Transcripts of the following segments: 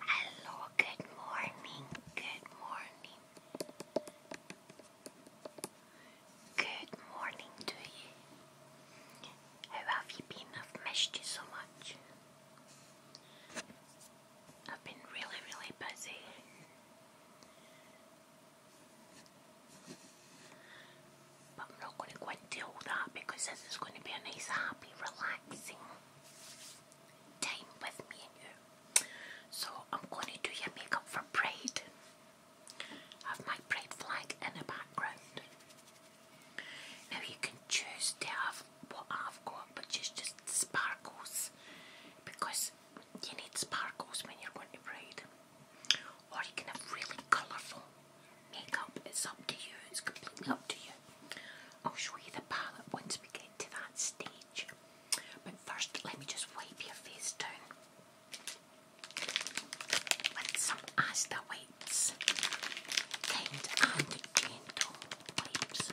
Hello, good morning, good morning. Good morning to you. How have you been? I've missed you so much. I've been really, really busy. But I'm not going to go into all that because this is going to be a nice, happy, relaxing time with me and you. So I'm going to do your makeup for Pride. have my Pride flag in the background. Now you can choose to what I've got, which is just sparkles, because you need sparkles when you're going to braid. Or you can have really colourful makeup. It's up to you. It's completely up to you. I'll show you the palette once we get to that stage. But first, let me just wipe your face down with some Asda Whites, kind and gentle waves.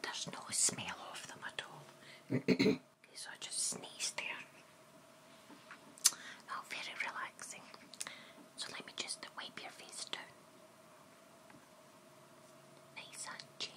There's no smell of them at all. so I just sneezed there. Oh, very relaxing. So let me just wipe your face down. Nice and gently.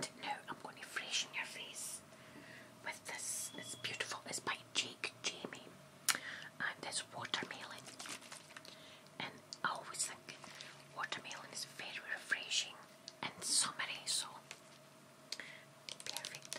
And now I'm going to freshen your face with this. It's beautiful. It's by Jake Jamie and um, that's watermelon. And I always think watermelon is very refreshing and summery, so perfect. So.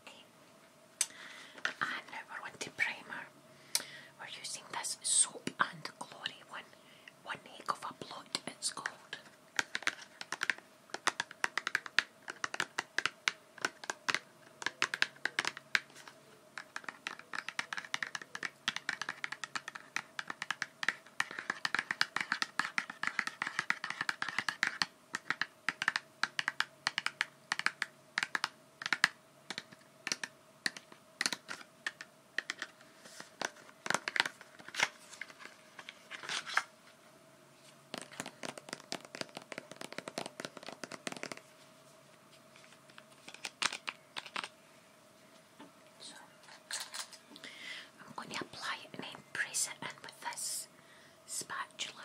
Okay. And now we're to primer. We're using this Soap and Glory one. One Egg of a Blot, it's called. So I'm going to apply an end pressure and with this spatula.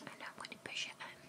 And I'm going to push it in.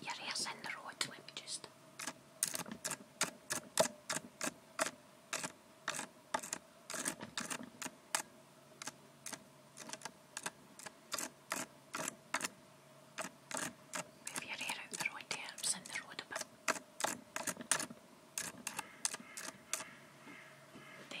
Your hair's in the road, let me just. Move your hair out the road there, it's in the road a bit. There.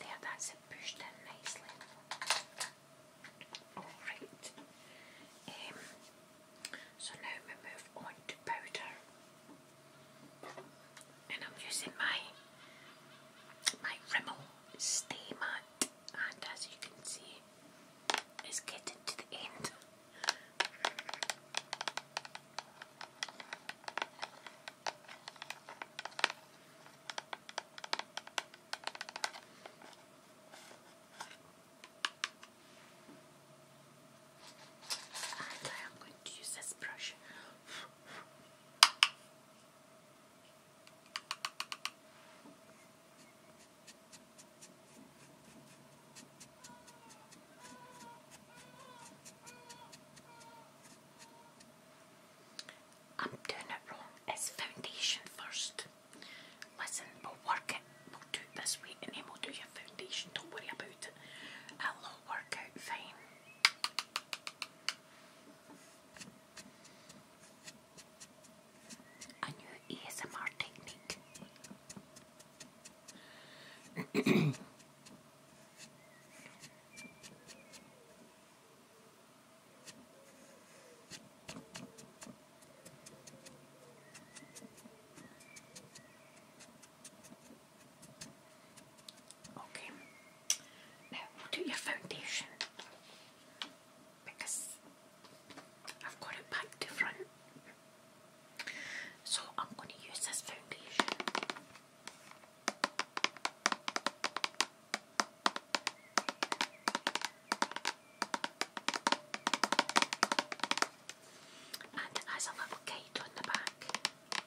There, that's it pushed in nicely. Alright. Um, so now we move on to powder and I'm using my my Rimmel Stay Matte, and as you can see, it's getting to the end. And I am going to use this brush. I'm doing it wrong. It's foundation first. Listen, we'll work it. We'll do it this way and then we'll do your foundation. Don't worry about a low workout fine. A new ASMR technique. Okay. Now we'll do your foundation because I've got it back to front. So I'm going to use this foundation. And it a little guide on the back.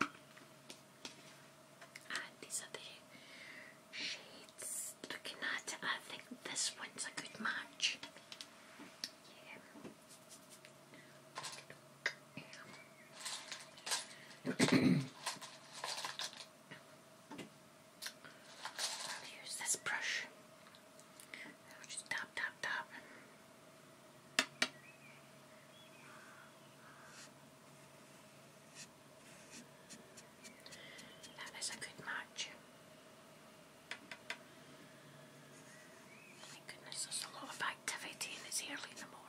And these are the shades. Looking at I think this one's a good match. Yeah. I'll use this brush. just tap, tap, tap. That is a good match. My goodness, there's a lot of activity and it's early in the morning.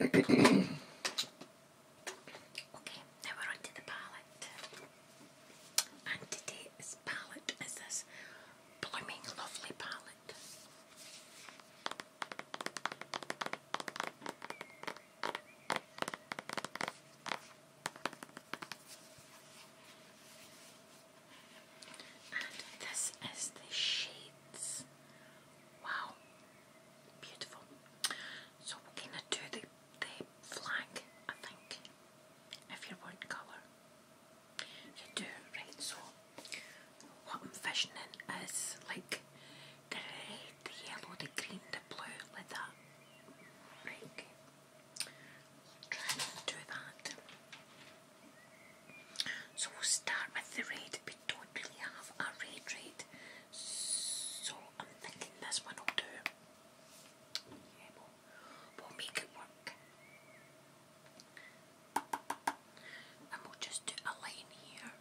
okay, now we're on the palette. And today this palette is this blooming lovely palette. And this is the shades. Wow, beautiful. So we're gonna do the the flag, I think, if you want colour. You do, right, so what I'm in is like the red, the yellow, the green, the blue, like that. try and do that. So we'll start with the red. We don't really have a red red. So I'm thinking this one will do. Yeah, we'll, make it work. And we'll just do a line here.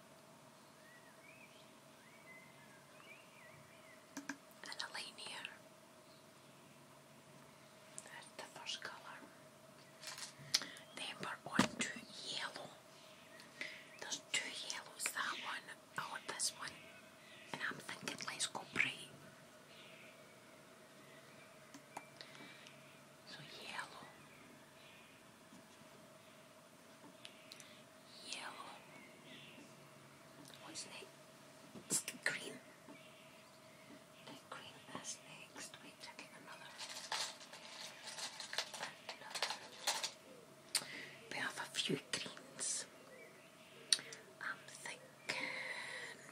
And a line here. There's the first colour. Then we're on to yellow. There's two yellows, that one or this one. And I'm thinking let's go bright. So yellow, yellow. What's next? Green. The green next. Wait, I Another. We have a few greens. I'm thinking and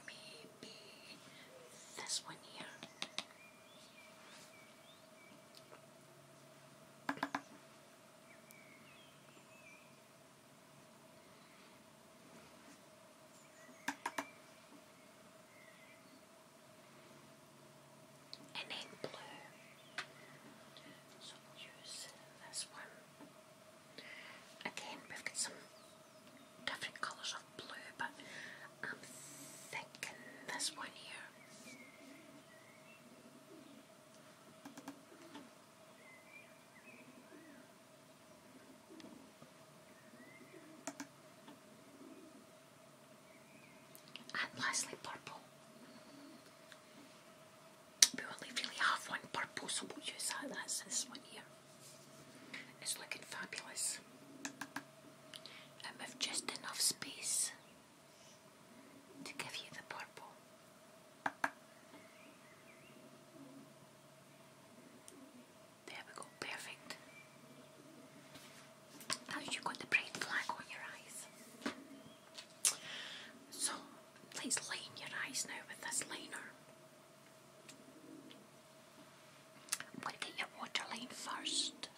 maybe this one here. And then blue. So we'll use this one. Again, we've got some different colours of blue, but I'm thinking this one here. And lastly, purple. We only really have one purple, so we'll use that. That's this one here. It's looking fabulous. And have just enough space to give you the purple. There we go, perfect. Now you've got the bright flag on your eyes. So, please line your eyes now with this liner. But your water first.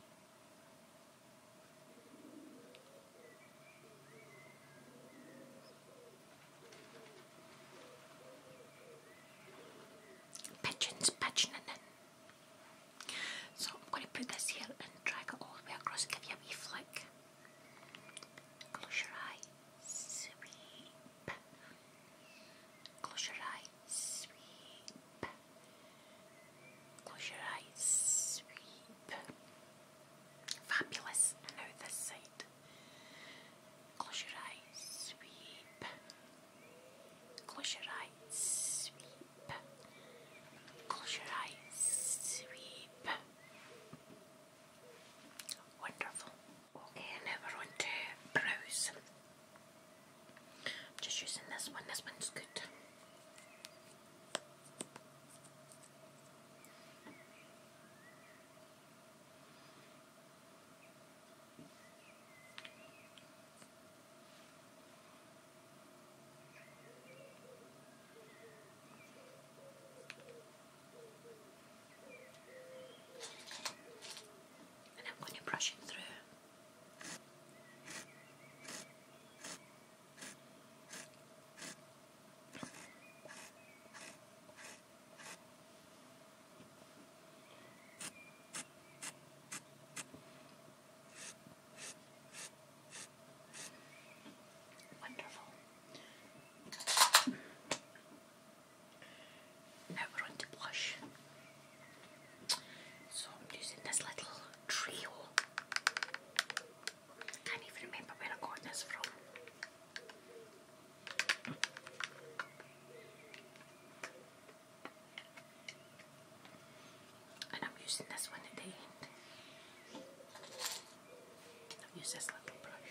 Pigeons pigeoning So I'm going to put this here and drag it all the way across give you a wee flick. Close your eye sweep. Close your eyes, sweep. Close your eyes, sweep. Fabulous. And now this side. Close your eyes, sweep. Close your eyes, sweep. Close your eyes, sweep wonderful. Okay, now we're on to brows. I'm just using this one, this one's good and I'm going to brush it through. Wonderful. Now we're on blush. So I'm using this little trio. can't even remember where I got this from. And I'm using this one in the end. I've used this little brush.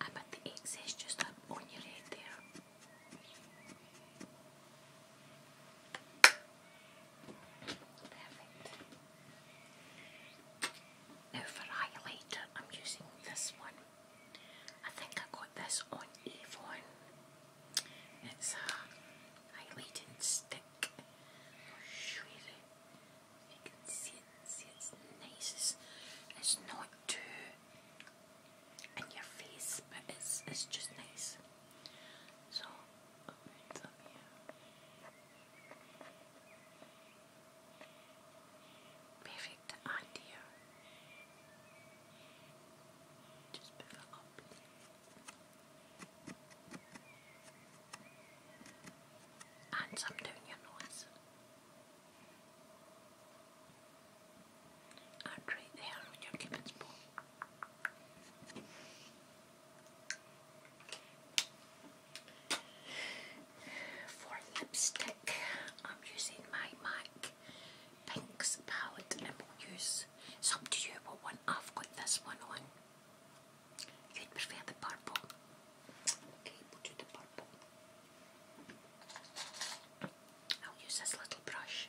I bet the egg just up on your head there. Now for highlighter, I'm using this one. I think I got this on Avon. It's a highlighting stick. I'll show you can see it's nice. It's, not too in your face, but it's it's just nice. So opens Perfect idea. Just before opening. And some doing your noise. And right there on your cupid's bow. For lipstick, I'm using my MAC Pinks palette and we'll use, it's up to you what one, I've got this one on. You'd prefer the purple. Okay, put will the purple. I'll use this little brush.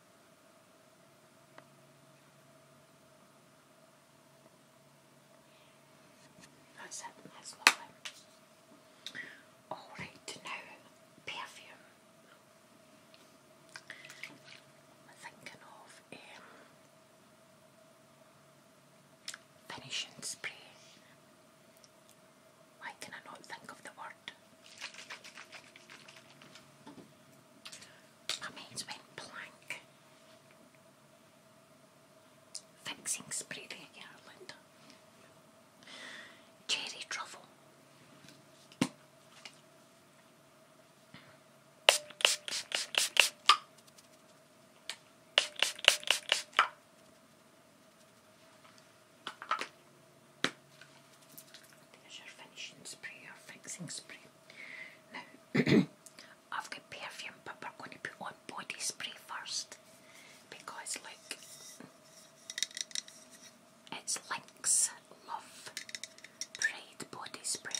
That's it, Alright, now perfume. I'm thinking of um, finishing spray. Why can I not think of the word? I mean, it went blank. Fixing spray Ireland. Cherry truffle. There's your finishing spray, your fixing spray. Now, I've got perfume, but we're going to put on body spray first because, like, it's Lynx Love Pride Body Spray.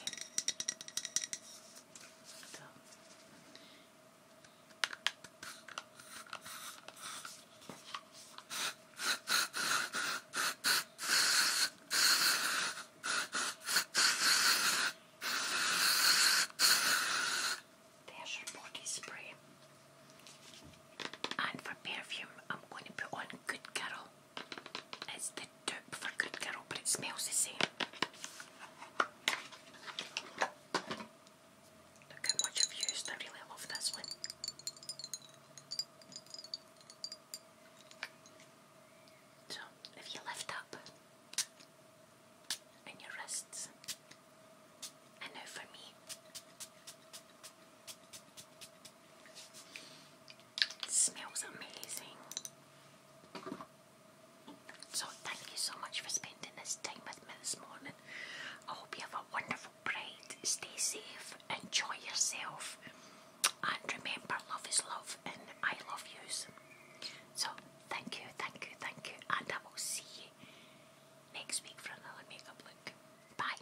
There's your body spray. And for perfume, I'm going to put on Good Girl. It's the dupe for Good Girl, but it smells the same. Look how much I've used. I really love this one. So, if you lift up and your wrists, and now for me, it smells amazing. So, thank you so much for spending this time with me this morning. I hope you have a wonderful bride. Stay safe, enjoy yourself, and remember, love is love, and I love yous. So, thank you, thank you, thank you, and I will see you next week for another makeup look. Bye.